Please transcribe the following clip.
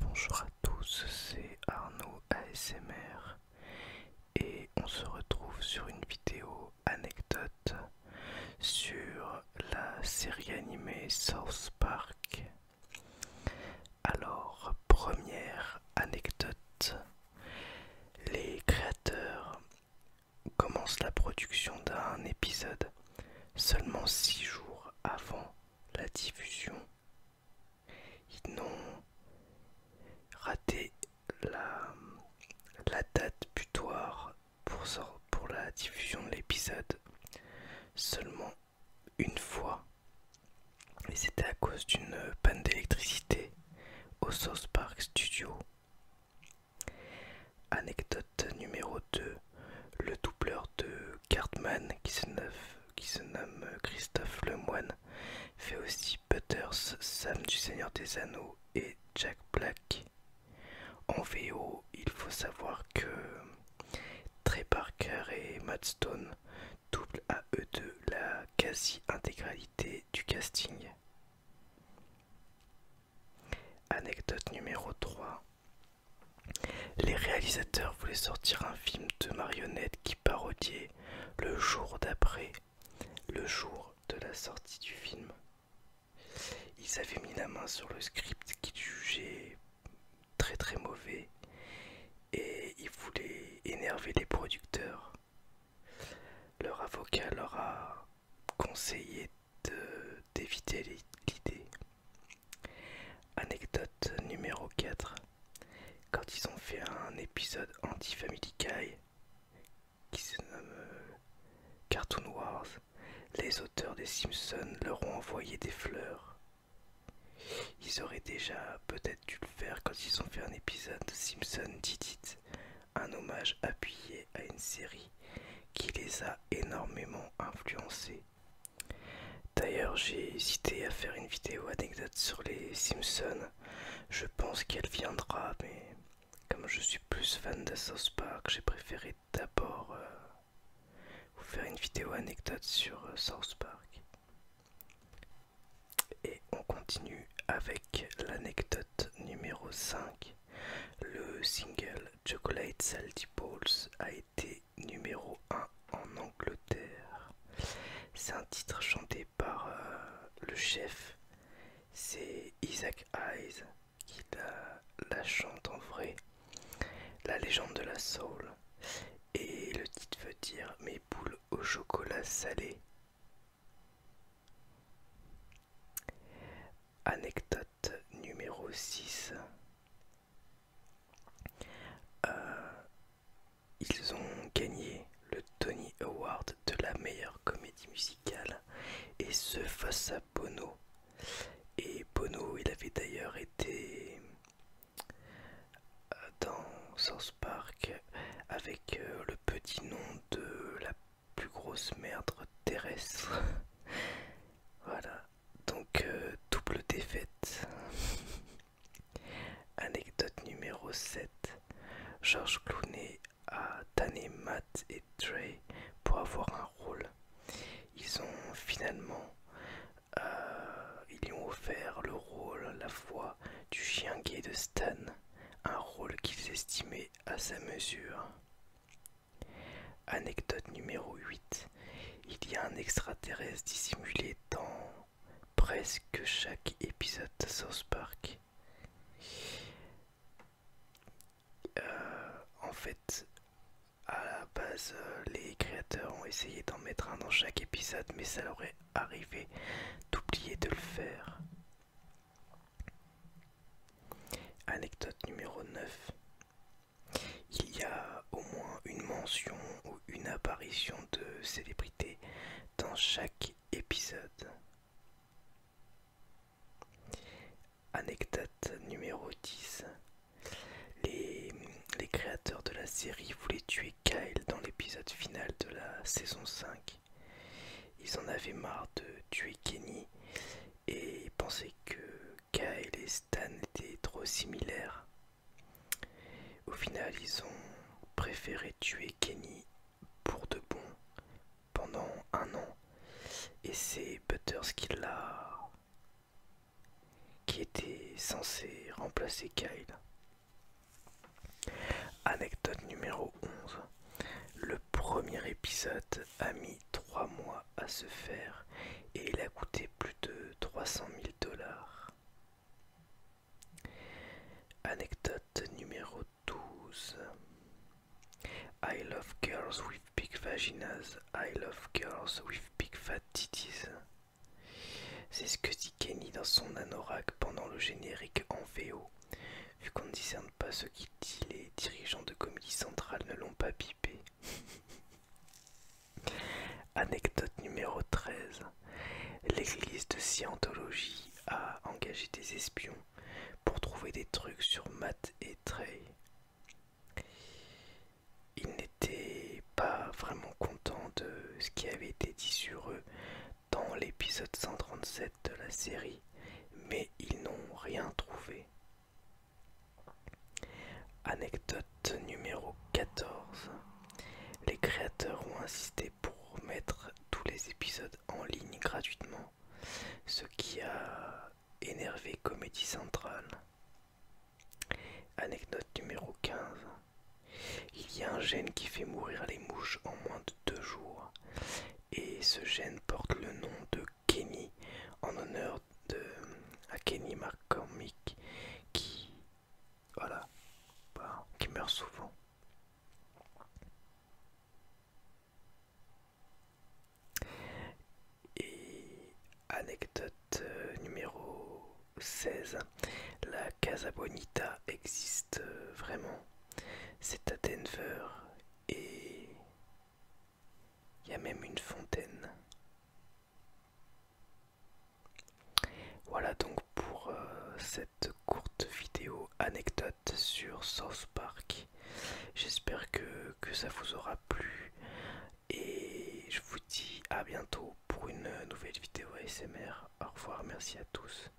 Bonjour à tous, c'est Arnaud ASMR et on se retrouve sur une vidéo anecdote sur la série animée South Park. Alors, première anecdote. Les créateurs commencent la production d'un épisode seulement six jours avant la diffusion. Ils n'ont raté la, date butoir pour, pour la diffusion de l'épisode seulement une fois. Et c'était à cause d'une panne d'électricité au South Park Studio. Anecdote numéro 2. Le doubleur de Cartman qui se nomme, Christophe Lemoine fait aussi Butters, Sam du Seigneur des Anneaux et Jack Black. En VO, il faut savoir que Trey Parker et Matt Stone doublent à eux deux la quasi-intégralité du casting. Anecdote numéro 3. Les réalisateurs voulaient sortir un film de marionnettes qui parodiait le jour d'après, le jour de la sortie du film. Ils avaient mis la main sur le script qui jugeait très très mauvais et ils voulaient énerver les producteurs. Leur avocat leur a conseillé d'éviter l'idée. Anecdote numéro 4. Quand ils ont fait un épisode anti-Family qui se nomme Cartoon Wars, les auteurs des Simpsons leur ont envoyé des fleurs. Ils auraient déjà peut-être dû le faire quand ils ont fait un épisode de Simpson dit dit un hommage appuyé à une série qui les a énormément influencés. D'ailleurs, j'ai hésité à faire une vidéo anecdote sur les Simpsons. Je pense qu'elle viendra, mais comme je suis plus fan de South Park, j'ai préféré d'abord euh, vous faire une vidéo anecdote sur euh, South Park. Et on continue avec l'anecdote numéro 5. Le single Chocolate Salty Balls a été numéro 1 en Angleterre. C'est un titre chanté par euh, le chef, c'est Isaac Hayes qui la, chante en vrai, la légende de la soul. Et le titre veut dire mes boules au chocolat salé. Anecdote numéro 6. Euh, ils ont gagné le Tony Award de la meilleure comédie musicale, et ce face à Bono. Et Bono, il avait d'ailleurs été euh, dans source Park avec euh, le petit nom de la plus grosse merde terrestre. voilà, donc euh, double défaite. Anecdote numéro 7. Georges Clooney à tanner Matt et Trey pour avoir un rôle. Ils ont finalement, euh, ils ont offert le rôle la fois du chien gay de Stan, un rôle qu'ils estimaient à sa mesure. Anecdote numéro 8. Il y a un extraterrestre dissimulé dans presque chaque épisode de South Park. Euh, en fait, à la base, euh, les créateurs ont essayé d'en mettre un dans chaque épisode, mais ça leur est arrivé d'oublier de le faire. Anecdote numéro 9. Il y a au moins une mention ou une apparition de célébrité dans chaque épisode. Anecdote numéro 10. Les, créateurs de la série voulaient tuer Kyle dans l'épisode final de la saison 5. Ils en avaient marre de tuer Kenny et pensaient que Kyle et Stan étaient trop similaires au final, ils ont préféré tuer Kenny pour de bon pendant un an. Et c'est Butters qui l'a. qui était censé remplacer Kyle. Anecdote numéro 11. Le premier épisode a mis 3 mois à se faire et il a coûté plus de 300 000 dollars. Anecdote numéro 12. I love girls with big vaginas. I love girls with big fat titties. C'est ce que dit Kenny dans son anorak pendant le générique en VO. Vu qu'on ne discerne pas ce qu'il dit, les dirigeants de Comédie Centrale ne l'ont pas pipé. Anecdote numéro 13. L'église de Scientologie a engagé des espions pour trouver des trucs sur Matt et Trey. Ils n'étaient pas vraiment contents de ce qui avait été dit sur eux dans l'épisode 137 de la série, mais ils n'ont rien trouvé. Anecdote numéro 14. Les créateurs ont insisté pour mettre tous les épisodes en ligne gratuitement, ce qui a énervé Comédie Centrale. Anecdote numéro 15. Il y a un gène qui fait mourir les mouches en moins de deux jours, et ce gène porte le nom de Kenny en honneur de à Kenny McCormick qui voilà bah, qui meurt souvent et anecdote euh, numéro 16 la Casa Bonita existe euh, vraiment c'est à Denver et il y a même une fontaine. Voilà donc pour euh, cette courte vidéo anecdote sur South Park. J'espère que, que ça vous aura plu et je vous dis à bientôt pour une nouvelle vidéo ASMR. Au revoir, merci à tous.